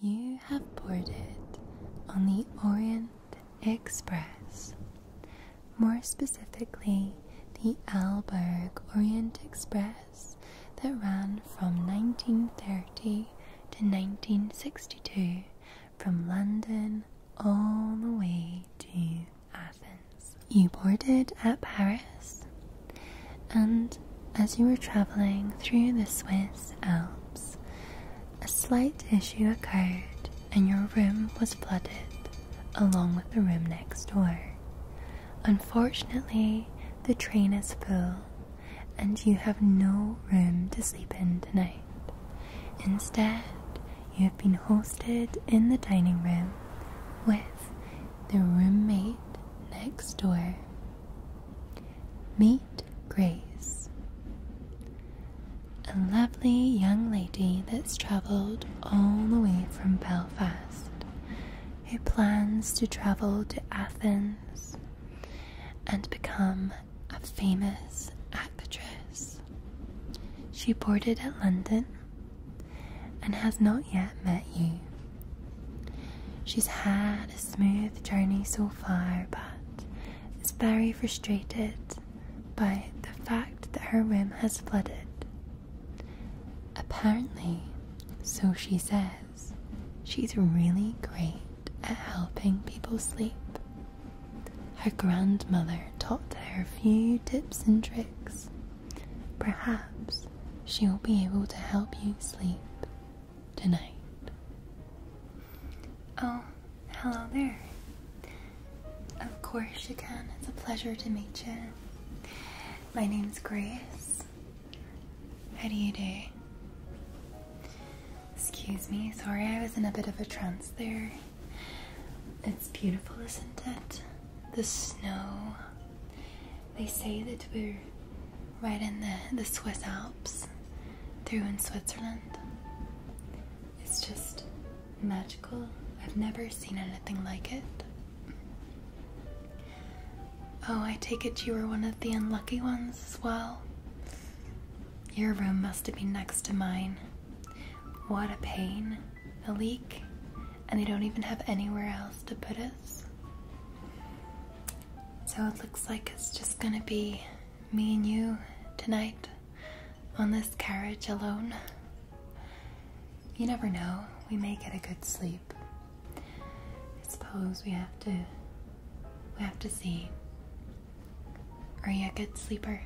You have boarded on the Orient Express, more specifically the Alberg Orient Express that ran from 1930 to 1962 from London all the way to Athens. You boarded at Paris and as you were traveling through the Swiss Alps, a slight issue occurred and your room was flooded along with the room next door. Unfortunately, the train is full and you have no room to sleep in tonight. Instead, you have been hosted in the dining room with the roommate next door. Meet grace. A lovely young lady that's travelled all the way from Belfast, who plans to travel to Athens and become a famous actress. She boarded at London and has not yet met you, She's had a smooth journey so far, but is very frustrated by the fact that her room has flooded. Apparently, so she says, she's really great at helping people sleep. Her grandmother taught her a few tips and tricks. Perhaps she'll be able to help you sleep tonight. Oh, hello there. Of course you can. It's a pleasure to meet you. My name's Grace. How do you do? Excuse me, sorry I was in a bit of a trance there. It's beautiful, isn't it? The snow they say that we're right in the, the Swiss Alps, through in Switzerland. It's just magical. I've never seen anything like it. Oh, I take it you were one of the unlucky ones as well. Your room must have been next to mine. What a pain. A leak, and they don't even have anywhere else to put us. So it looks like it's just gonna be me and you tonight on this carriage alone. You never know, we may get a good sleep. I suppose we have to, we have to see. Are you a good sleeper?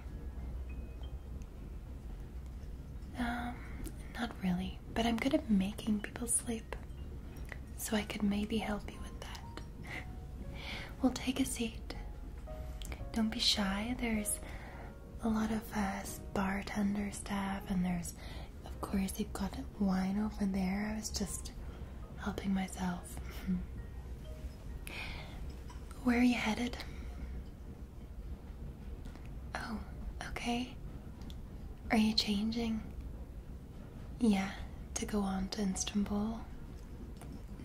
Um, not really but I'm good at making people sleep. So I could maybe help you with that. well, take a seat. Don't be shy. There's a lot of us uh, bartender staff, and there's, of course, you've got wine over there. I was just helping myself. Where are you headed? Oh, okay. Are you changing? Yeah, to go on to Istanbul.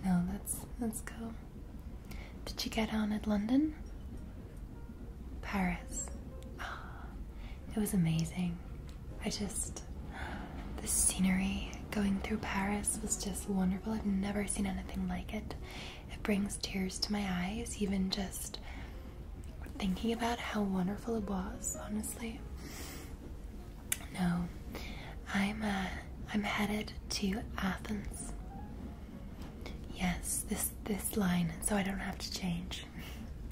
No, that's let's go. Did you get on at London? Paris. Ah, it was amazing. I just the scenery going through Paris was just wonderful. I've never seen anything like it. It brings tears to my eyes, even just thinking about how wonderful it was, honestly. No, I'm uh, I'm headed to Athens. Yes, this this line, so I don't have to change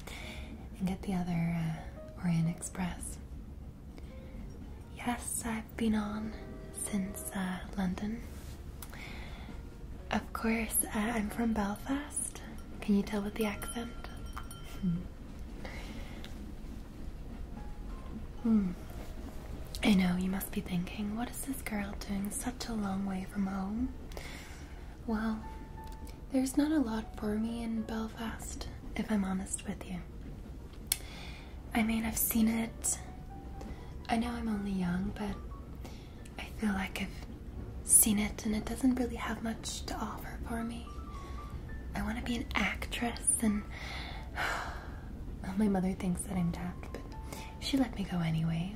and get the other uh, Orient Express. Yes, I've been on since uh, London. Of course, I'm from Belfast can you tell with the accent? Hmm. hmm. I know you must be thinking, what is this girl doing such a long way from home? Well, there's not a lot for me in Belfast, if I'm honest with you. I mean, I've seen it. I know I'm only young, but I feel like I've seen it and it doesn't really have much to offer for me. I want to be an actress and my mother thinks that I'm tapped, but she let me go anyway.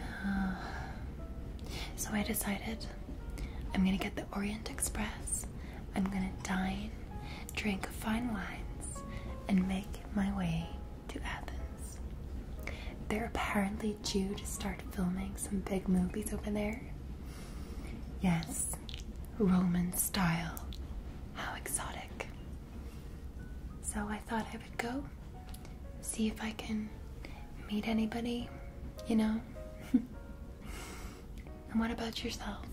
so I decided I'm gonna get the Orient Express, I'm gonna dine, drink fine wines, and make my way to Athens. They're apparently you to start filming some big movies over there. Yes, Roman style. How exotic. So I thought I would go see if I can meet anybody, you know? and what about yourself?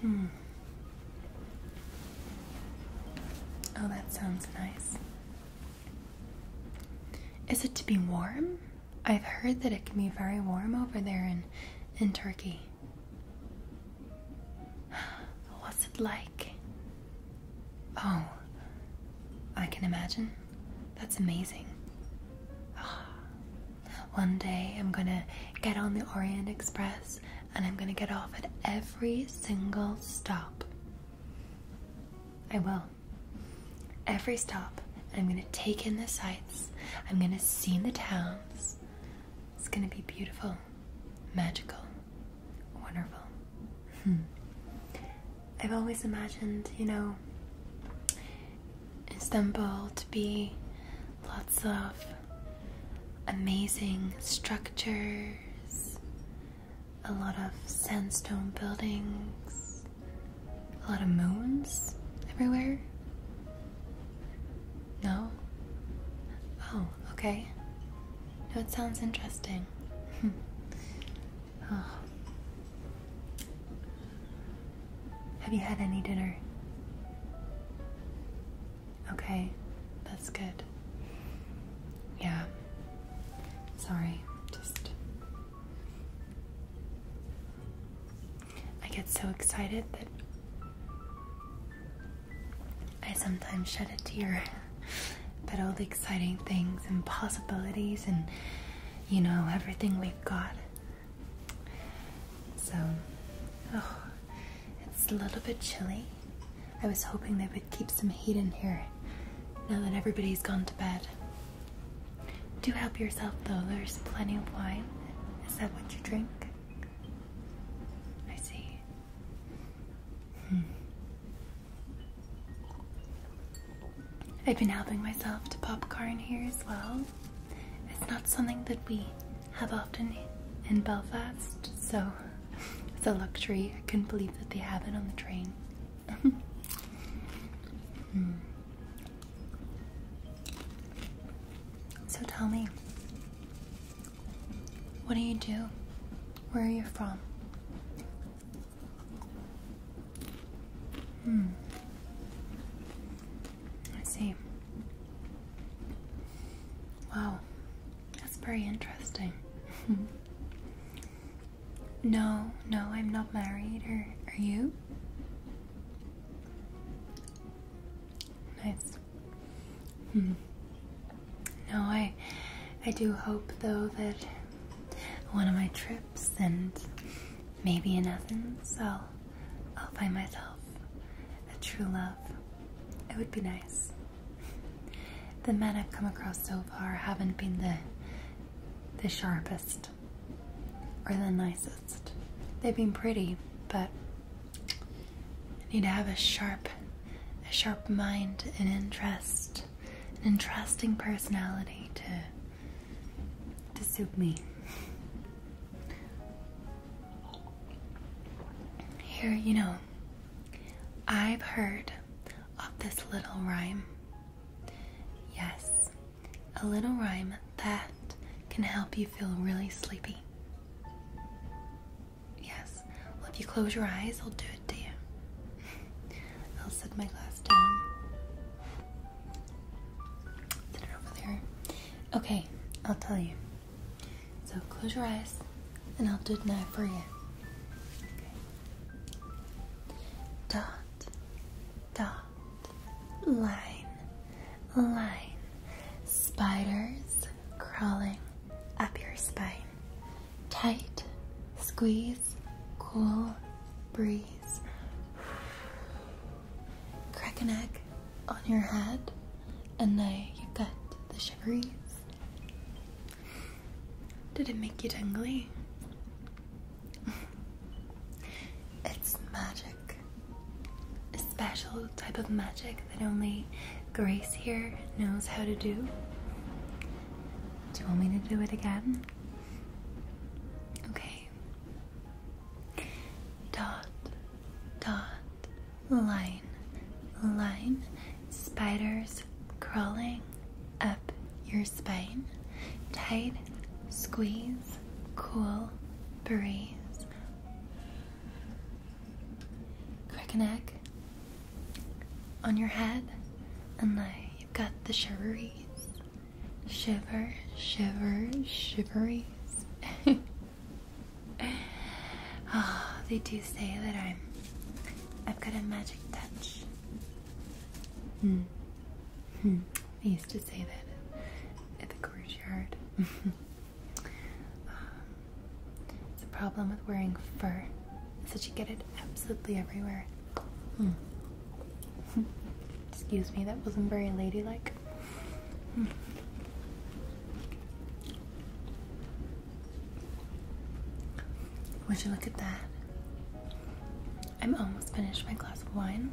Hmm. Oh, that sounds nice. Is it to be warm? I've heard that it can be very warm over there in in Turkey. What's it like? Oh, I can imagine. That's amazing. One day I'm gonna get on the Orient Express and I'm going to get off at every single stop. I will. Every stop. I'm going to take in the sights. I'm going to see the towns. It's going to be beautiful, magical, wonderful. Hmm. I've always imagined, you know, Istanbul to be lots of amazing structures, a lot of sandstone buildings, a lot of moons everywhere. No? Oh, okay. No, it sounds interesting. Oh. Have you had any dinner? Okay, that's good. Yeah. Sorry, just. I get so excited that I sometimes shed a tear at all the exciting things and possibilities and, you know, everything we've got. So, oh, it's a little bit chilly. I was hoping they would keep some heat in here now that everybody's gone to bed. Do help yourself though, there's plenty of wine. Is that what you drink? I see. Hmm. I've been helping myself to popcorn here as well. It's not something that we have often in Belfast, so it's a luxury. I couldn't believe that they have it on the train. Hmm. So tell me, what do you do? Where are you from? Hmm. I see. Wow, that's very interesting. no, no, I'm not married, or are you? Nice. Hmm. No, I, I do hope though that one of my trips and maybe in Athens, I'll, I'll find myself a true love. It would be nice. The men I've come across so far haven't been the the sharpest or the nicest. They've been pretty, but I need to have a sharp a sharp mind, an interest, an interesting personality to to suit me. Here, you know, I've heard of this little rhyme. Yes, a little rhyme that can help you feel really sleepy. Yes, well, if you close your eyes, I'll do it to you. I'll set my glass down. Set it over there. Okay, I'll tell you. So close your eyes and I'll do it now for you. Dot, dot, line, line. Spiders crawling up your spine. Tight, squeeze, cool, breeze. Crack an egg on your head and now you got the shiveries. Did it make you tingly? it's magic. A special type of magic that only Grace here knows how to do. Do you want me to do it again? Okay. Dot, dot, line, line, spiders crawling up your spine, tight, squeeze, cool, breeze, crack an egg on your head, and like you've got the shiveries, shiver, shiver, shiveries. Oh, they do say that I'm I've got a magic touch. Hmm. hmm. They used to say that at the courtyard. it's a problem with wearing fur. so that you get it absolutely everywhere. Hmm. Excuse me, that wasn't very ladylike. Would you look at that? I'm almost finished my glass of wine.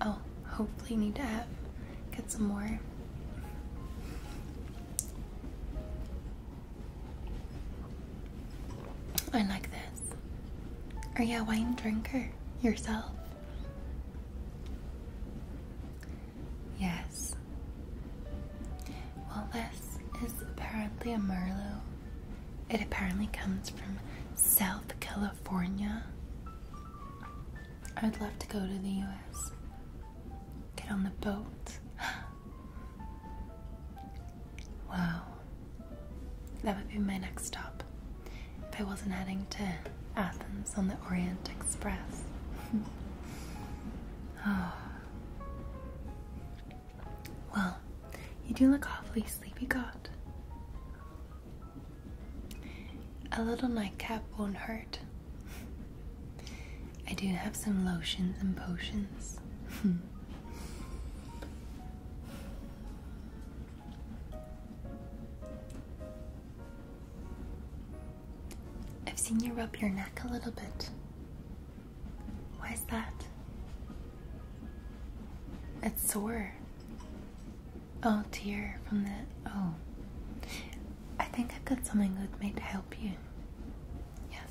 I'll hopefully need to have get some more. I like this. Are you a wine drinker yourself? Yes. Well, this is apparently a Merlot. It apparently comes from South California. I'd love to go to the US. Get on the boat. wow. That would be my next stop if I wasn't heading to Athens on the Orient Express. Ah. Well, you do look awfully sleepy, God. A little nightcap won't hurt. I do have some lotions and potions. I've seen you rub your neck a little bit. Why is that? It's sore. Oh dear, from the. Oh. I think I've got something with me to help you. Yes.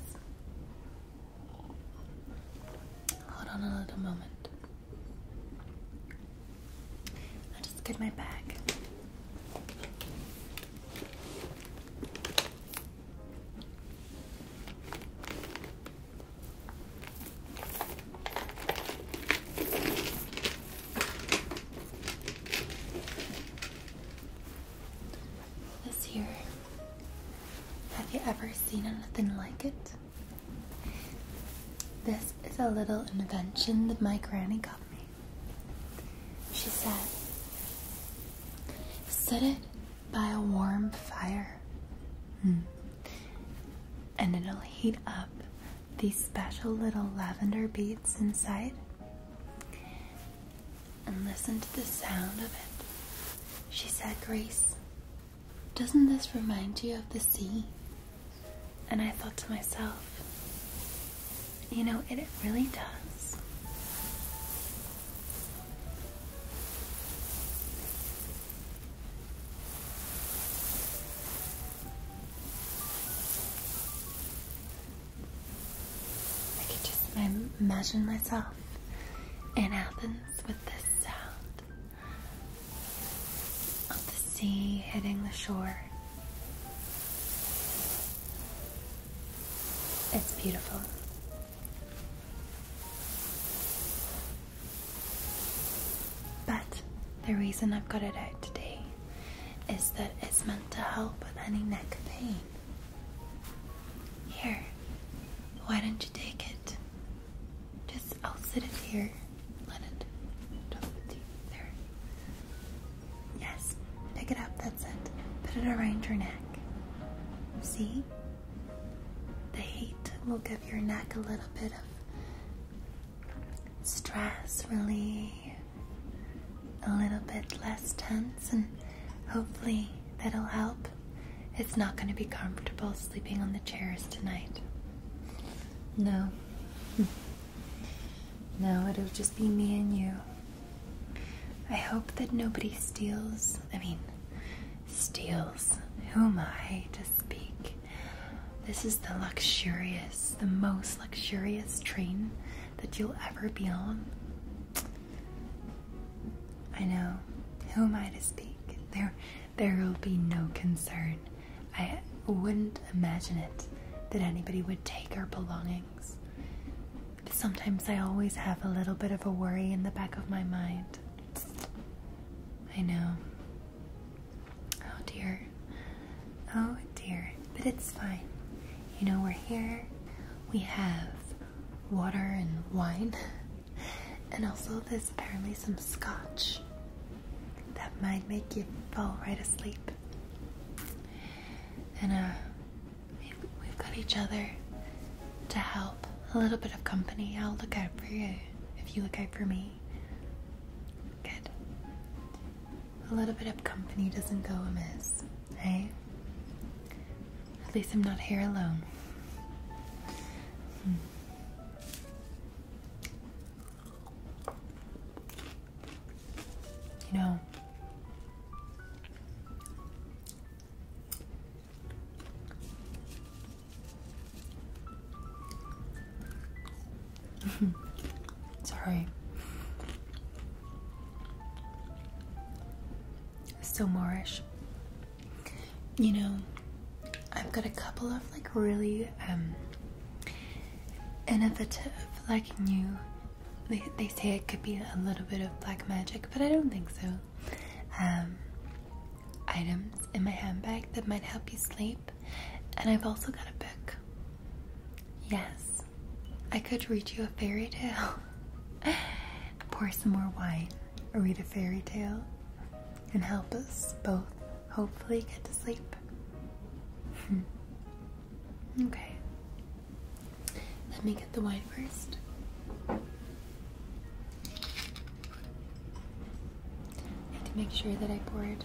Hold on a little moment i just get my bag. This here. Have you ever seen anything like it? This is a little invention that my granny got me she said. Set it by a warm fire, hmm, and it'll heat up these special little lavender beads inside. And listen to the sound of it. She said, Grace, doesn't this remind you of the sea? And I thought to myself, you know, it, really does. I could just imagine myself in Athens with this sound of the sea hitting the shore it's beautiful. But the reason I've got it out today is that it's meant to help with any neck pain. Here, why don't you take it? Just, I'll sit it here. Let it talk with you. Yes. Pick it up. That's it. Put it around your neck. See? The heat will give your neck a little bit of stress relief, a little bit less tense, and hopefully that'll help. It's not going to be comfortable sleeping on the chairs tonight. No. Now it'll just be me and you. I hope that nobody steals, I mean, steals. Who am I to speak? This is the luxurious, the most luxurious train that you'll ever be on. I know. Who am I to speak? There, there will be no concern. I wouldn't imagine it that anybody would take our belongings. sometimes I always have a little bit of a worry in the back of my mind. I know. Oh dear. Oh dear. But it's fine. You know, we're here. We have water and wine. And also, there's apparently some scotch that might make you fall right asleep. And uh, we've got each other to help. A little bit of company. I'll look out for you if you look out for me. Good. A little bit of company doesn't go amiss, eh? At least I'm not here alone. Hmm. You know, sorry. Still Moorish. You know, I've got a couple of like really um innovative like new they, they say it could be a little bit of black magic but i don't think so um, items in my handbag that might help you sleep and i've also got a book yes i could read you a fairy tale pour some more wine or read a fairy tale and help us both hopefully get to sleep. Hmm. okay. Let me get the wine first. I have to make sure that I pour it.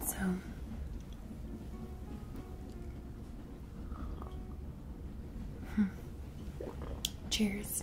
So hmm. Cheers.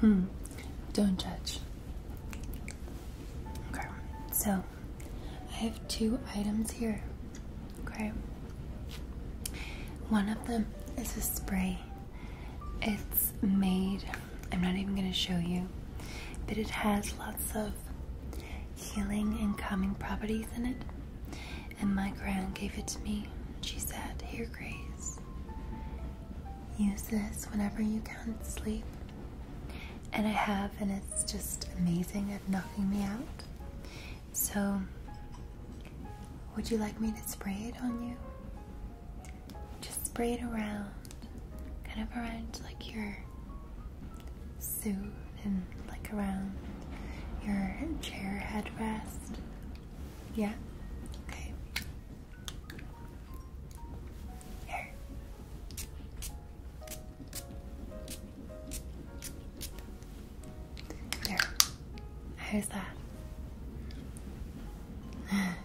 Hmm. Don't judge. Okay. So, I have two items here. Okay. One of them is a spray. It's made, I'm not even going to show you, but it has lots of healing and calming properties in it. And my grand gave it to me. She said, Here, Grace Use this whenever you can't sleep. And I have, and it's just amazing at knocking me out. So, would you like me to spray it on you? Just spray it around, kind of around like your suit and like around your chair headrest, yeah? Okay. Here. How's that?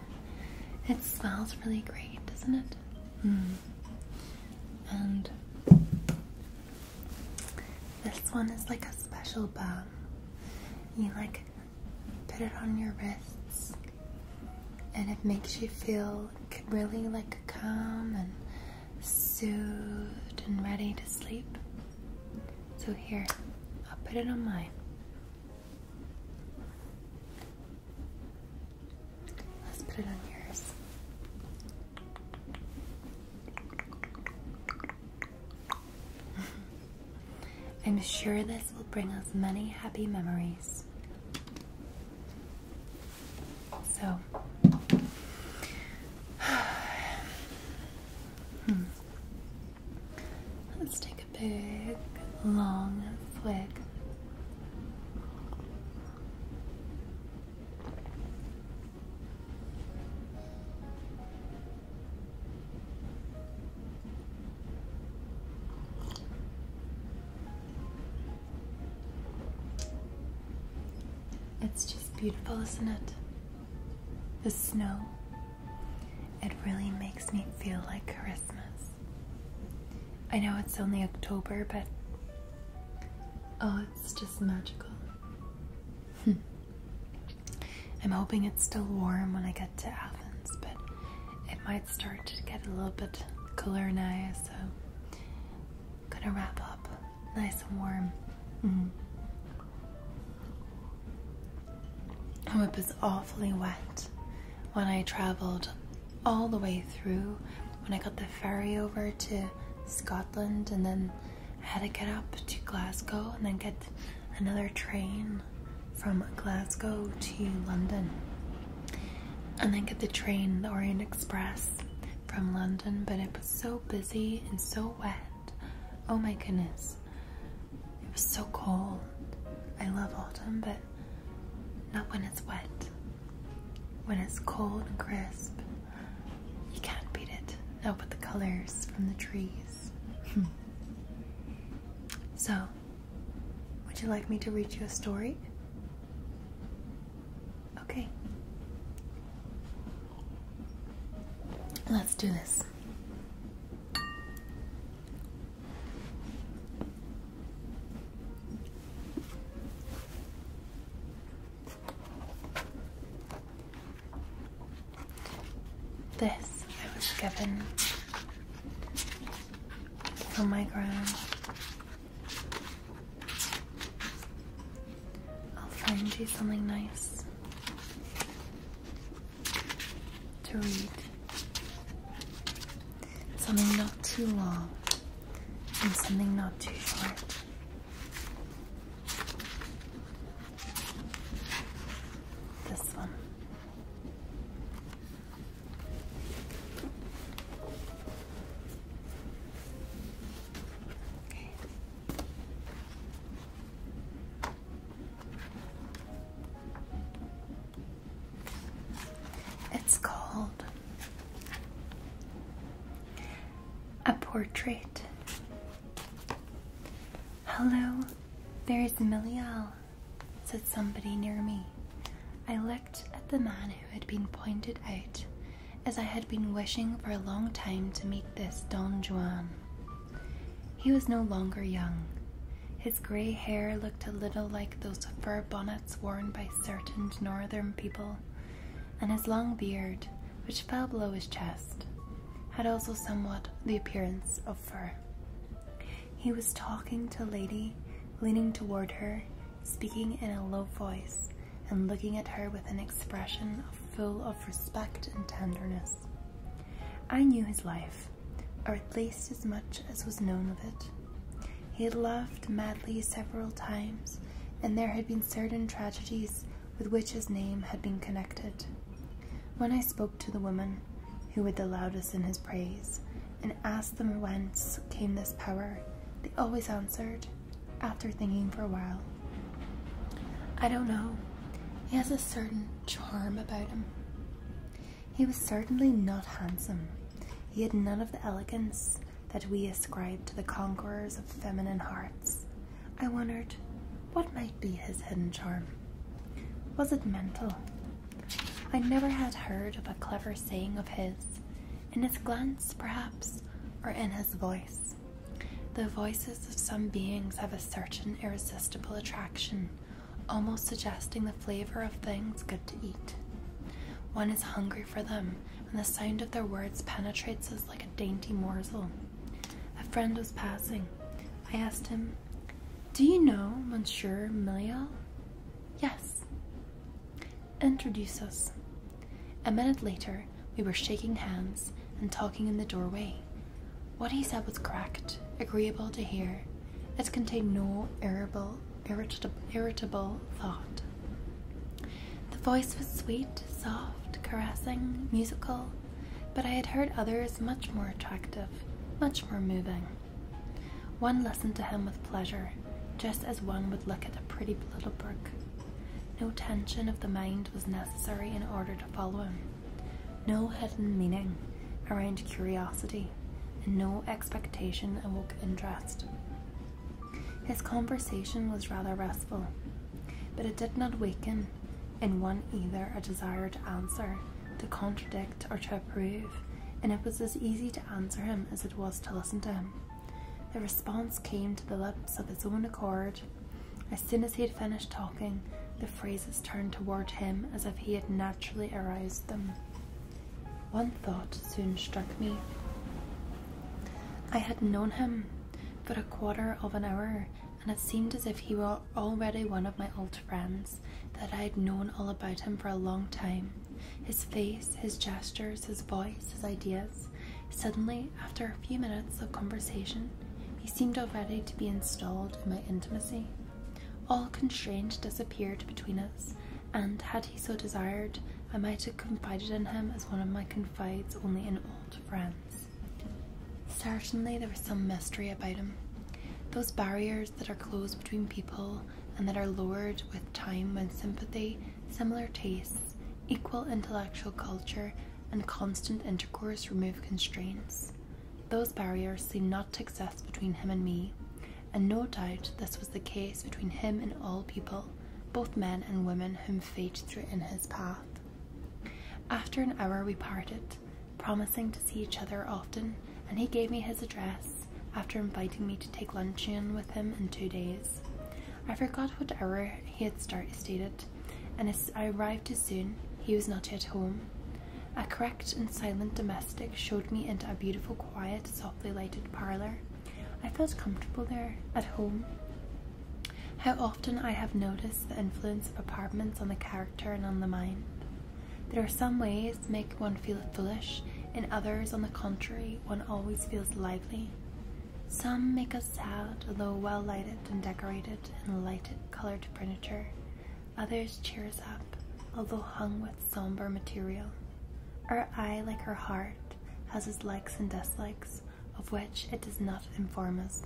It smells really great, doesn't it? Hmm. And this one is like a special balm. You like put it on your wrists, and it makes you feel really like calm and soothed and ready to sleep. So, here, I'll put it on mine. Let's put it on yours. I'm sure this will bring us many happy memories. So, hmm. let's take a big, long flick. It's just beautiful, isn't it? The snow. It really makes me feel like Christmas. I know it's only October, but oh, it's just magical. I'm hoping it's still warm when I get to Athens, but it might start to get a little bit cooler now, so I'm gonna wrap up nice and warm. Mm. Oh, it was awfully wet when I traveled all the way through when I got the ferry over to Scotland and then I had to get up to Glasgow and then get another train from Glasgow to London. And then get the train, the Orient Express from London, but it was so busy and so wet. Oh my goodness. It was so cold. I love autumn, but not when it's wet. When it's cold and crisp, you can't beat it. Now with the colors from the trees. So, would you like me to read you a story? Okay. Let's do this. This I was given from my ground. I'll find you something nice to read. Something not too long and something not too short. This one. Okay. It's called a portrait Hello, there is Milial, said somebody near me. I looked at the man who had been pointed out, as I had been wishing for a long time to meet this Don Juan. He was no longer young. His grey hair looked a little like those fur bonnets worn by certain northern people, and his long beard, which fell below his chest, had also somewhat the appearance of fur. He was talking to a lady, leaning toward her, speaking in a low voice, and looking at her with an expression full of respect and tenderness. I knew his life, or at least as much as was known of it. He had loved madly several times, and there had been certain tragedies with which his name had been connected. When I spoke to the women who were the loudest in his praise, and asked them whence came this power, they always answered, after thinking for a while, I don't know. He has a certain charm about him. He was certainly not handsome. He had none of the elegance that we ascribe to the conquerors of feminine hearts, I wondered what might be his hidden charm. Was it mental? I never had heard of a clever saying of his, in his glance perhaps, or in his voice. The voices of some beings have a certain irresistible attraction, almost suggesting the flavor of things good to eat. One is hungry for them, and the sound of their words penetrates like a dainty morsel. A friend was passing. I asked him, Do you know Monsieur Milial? Yes. Introduce us. A minute later, we were shaking hands and talking in the doorway. What he said was correct, agreeable to hear. It contained no irritable, irritable, irritable thought. The voice was sweet, soft, caressing, musical, but I had heard others much more attractive, much more moving. One listened to him with pleasure, just as one would look at a pretty little brook. No tension of the mind was necessary in order to follow him, no hidden meaning aroused curiosity, and no expectation awoke interest. His conversation was rather restful, but it did not weaken in one either a desire to answer, to contradict, or to approve, and it was as easy to answer him as it was to listen to him. The response came to the lips of its own accord. As soon as he had finished talking, the phrases turned toward him as if he had naturally aroused them. One thought soon struck me. I had known him for a quarter of an hour and it seemed as if he were already one of my old friends, that I had known all about him for a long time. His face, his gestures, his voice, his ideas. Suddenly, after a few minutes of conversation, he seemed already to be installed in my intimacy. All constraint disappeared between us, and had he so desired, I might have confided in him as one of my confides only in old friends. Certainly, there was some mystery about him. Those barriers that are closed between people and that are lowered with time when sympathy, similar tastes, equal intellectual culture, and constant intercourse remove constraints. Those barriers seemed not to exist between him and me, and no doubt this was the case between him and all people, both men and women whom fate threw in his path. After an hour, we parted, promising to see each other often, and he gave me his address after inviting me to take luncheon with him in two days. I forgot what hour he had started, and as I arrived too soon, he was not yet home. A correct and silent domestic showed me into a beautiful, quiet, softly lighted parlour. I felt comfortable there, at home. How often I have noticed the influence of apartments on the character and on the mind. There are some ways make one feel foolish, in others, on the contrary, one always feels lively. Some make us sad, although well lighted and decorated and lighted coloured furniture. Others cheer us up, although hung with sombre material. Our eye, like our heart, has its likes and dislikes, of which it does not inform us,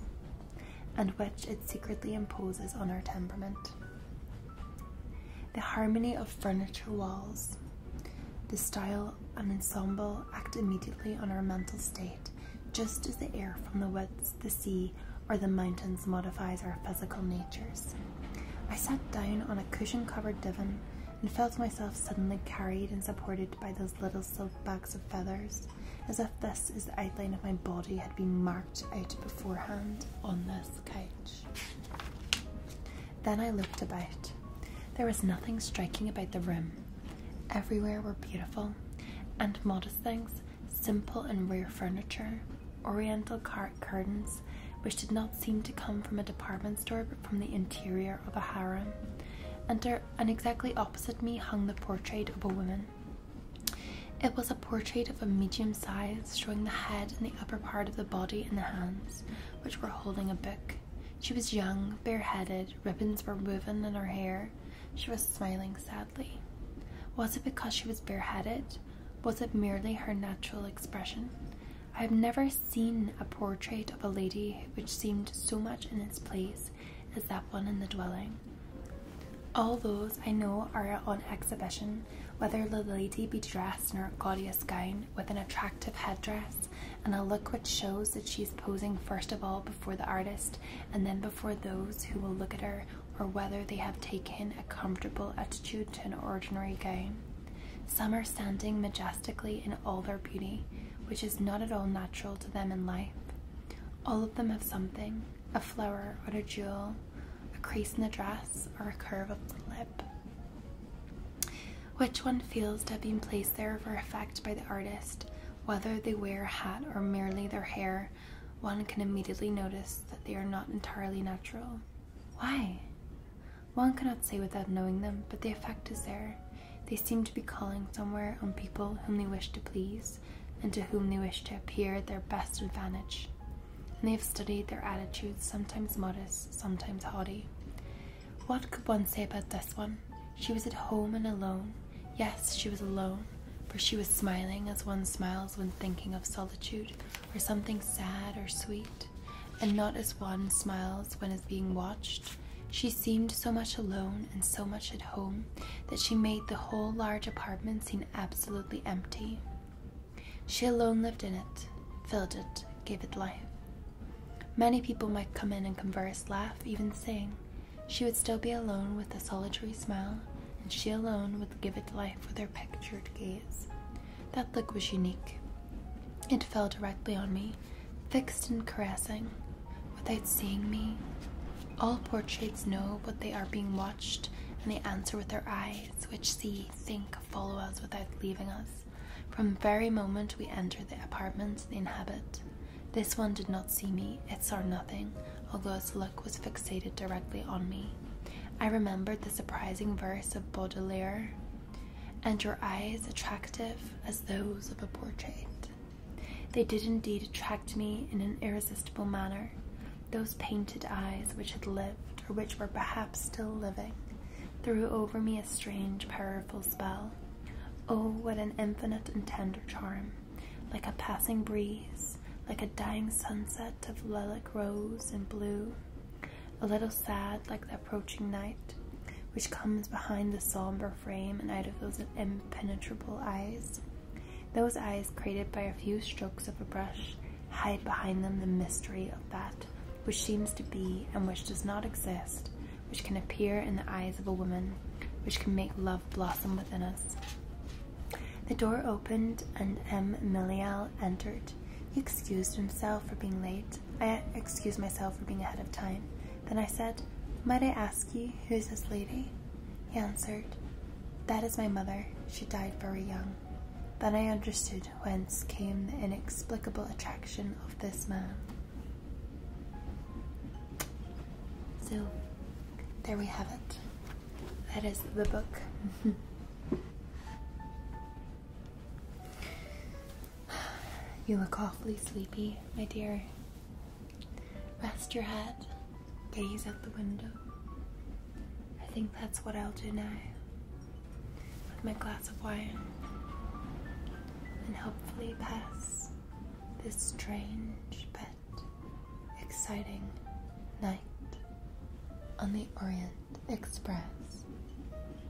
and which it secretly imposes on our temperament. The harmony of furniture walls, the style and ensemble act immediately on our mental state, just as the air from the woods, the sea, or the mountains modifies our physical natures. I sat down on a cushion covered divan and felt myself suddenly carried and supported by those little little silk bags of feathers, as if this is the outline of my body had been marked out beforehand on this couch. Then I looked about. There was nothing striking about the room. Everywhere were beautiful and modest things, simple and rare furniture, oriental cart curtains, which did not seem to come from a department store but from the interior of a harem, and and exactly opposite me hung the portrait of a woman. It was a portrait of a medium size, showing the head and the upper part of the body and the hands, which were holding a book. She was young, bareheaded, ribbons were woven in her hair. She was smiling sadly. Was it because she was bareheaded? Was it merely her natural expression? I have never seen a portrait of a lady which seemed so much in its place is that one in the dwelling. All those I know are on exhibition, whether the lady be dressed in her gaudiest gown with an attractive headdress and a look which shows that she is posing first of all before the artist and then before those who will look at her, or whether they have taken a comfortable attitude to an ordinary gown. Some are standing majestically in all their beauty, which is not at all natural to them in life. All of them have something a flower or a jewel, a crease in the dress, or a curve of the lip. Which one feels to have been placed there for effect by the artist, whether they wear a hat or merely their hair, one can immediately notice that they are not entirely natural. Why? One cannot say without knowing them, but the effect is there. They seem to be calling somewhere on people whom they wish to please and to whom they wish to appear at their best advantage. And they have studied their attitudes, sometimes modest, sometimes haughty. What could one say about this one? She was at home and alone. Yes, she was alone, for she was smiling as one smiles when thinking of solitude or something sad or sweet, and not as one smiles when is being watched she seemed so much alone and so much at home that she made the whole large apartment seem absolutely empty. She alone lived in it, filled it, gave it life. Many people might come in and converse, laugh, even sing. She would still be alone with a solitary smile, and she alone would give it life with her pictured gaze. That look was unique. It fell directly on me, fixed and caressing, without seeing me. All portraits know what they are being watched, and they answer with their eyes, which see, think, follow us without leaving us. From the very moment we enter the apartments they inhabit, this one did not see me, it saw nothing, although its look was fixated directly on me. I remembered the surprising verse of Baudelaire and your eyes attractive as those of a portrait. They did indeed attract me in an irresistible manner, those painted eyes which had lived, or which were perhaps still living, threw over me a strange, powerful spell. Oh, what an infinite and tender charm, like a passing breeze, like a dying sunset of lilac rose and blue, a little sad like that approaching night, which comes behind the somber frame and out of those impenetrable eyes. Those eyes, created by a few strokes of a brush, hide behind them the mystery of that which seems to be and which does not exist, which can appear in the eyes of a woman, which can make love blossom within us. The door opened and M. Milial entered. He excused himself for being late. I excused myself for being ahead of time. Then I said, Might I ask you, who is this lady? He answered, That is my mother. She died very young. Then I understood whence came the inexplicable attraction of this man. So, there we have it. That is the book. You look awfully sleepy, my dear. Rest your head, gaze out the window. I think that's what I'll do now with my glass of wine and hopefully pass this strange but exciting night on the Orient Express.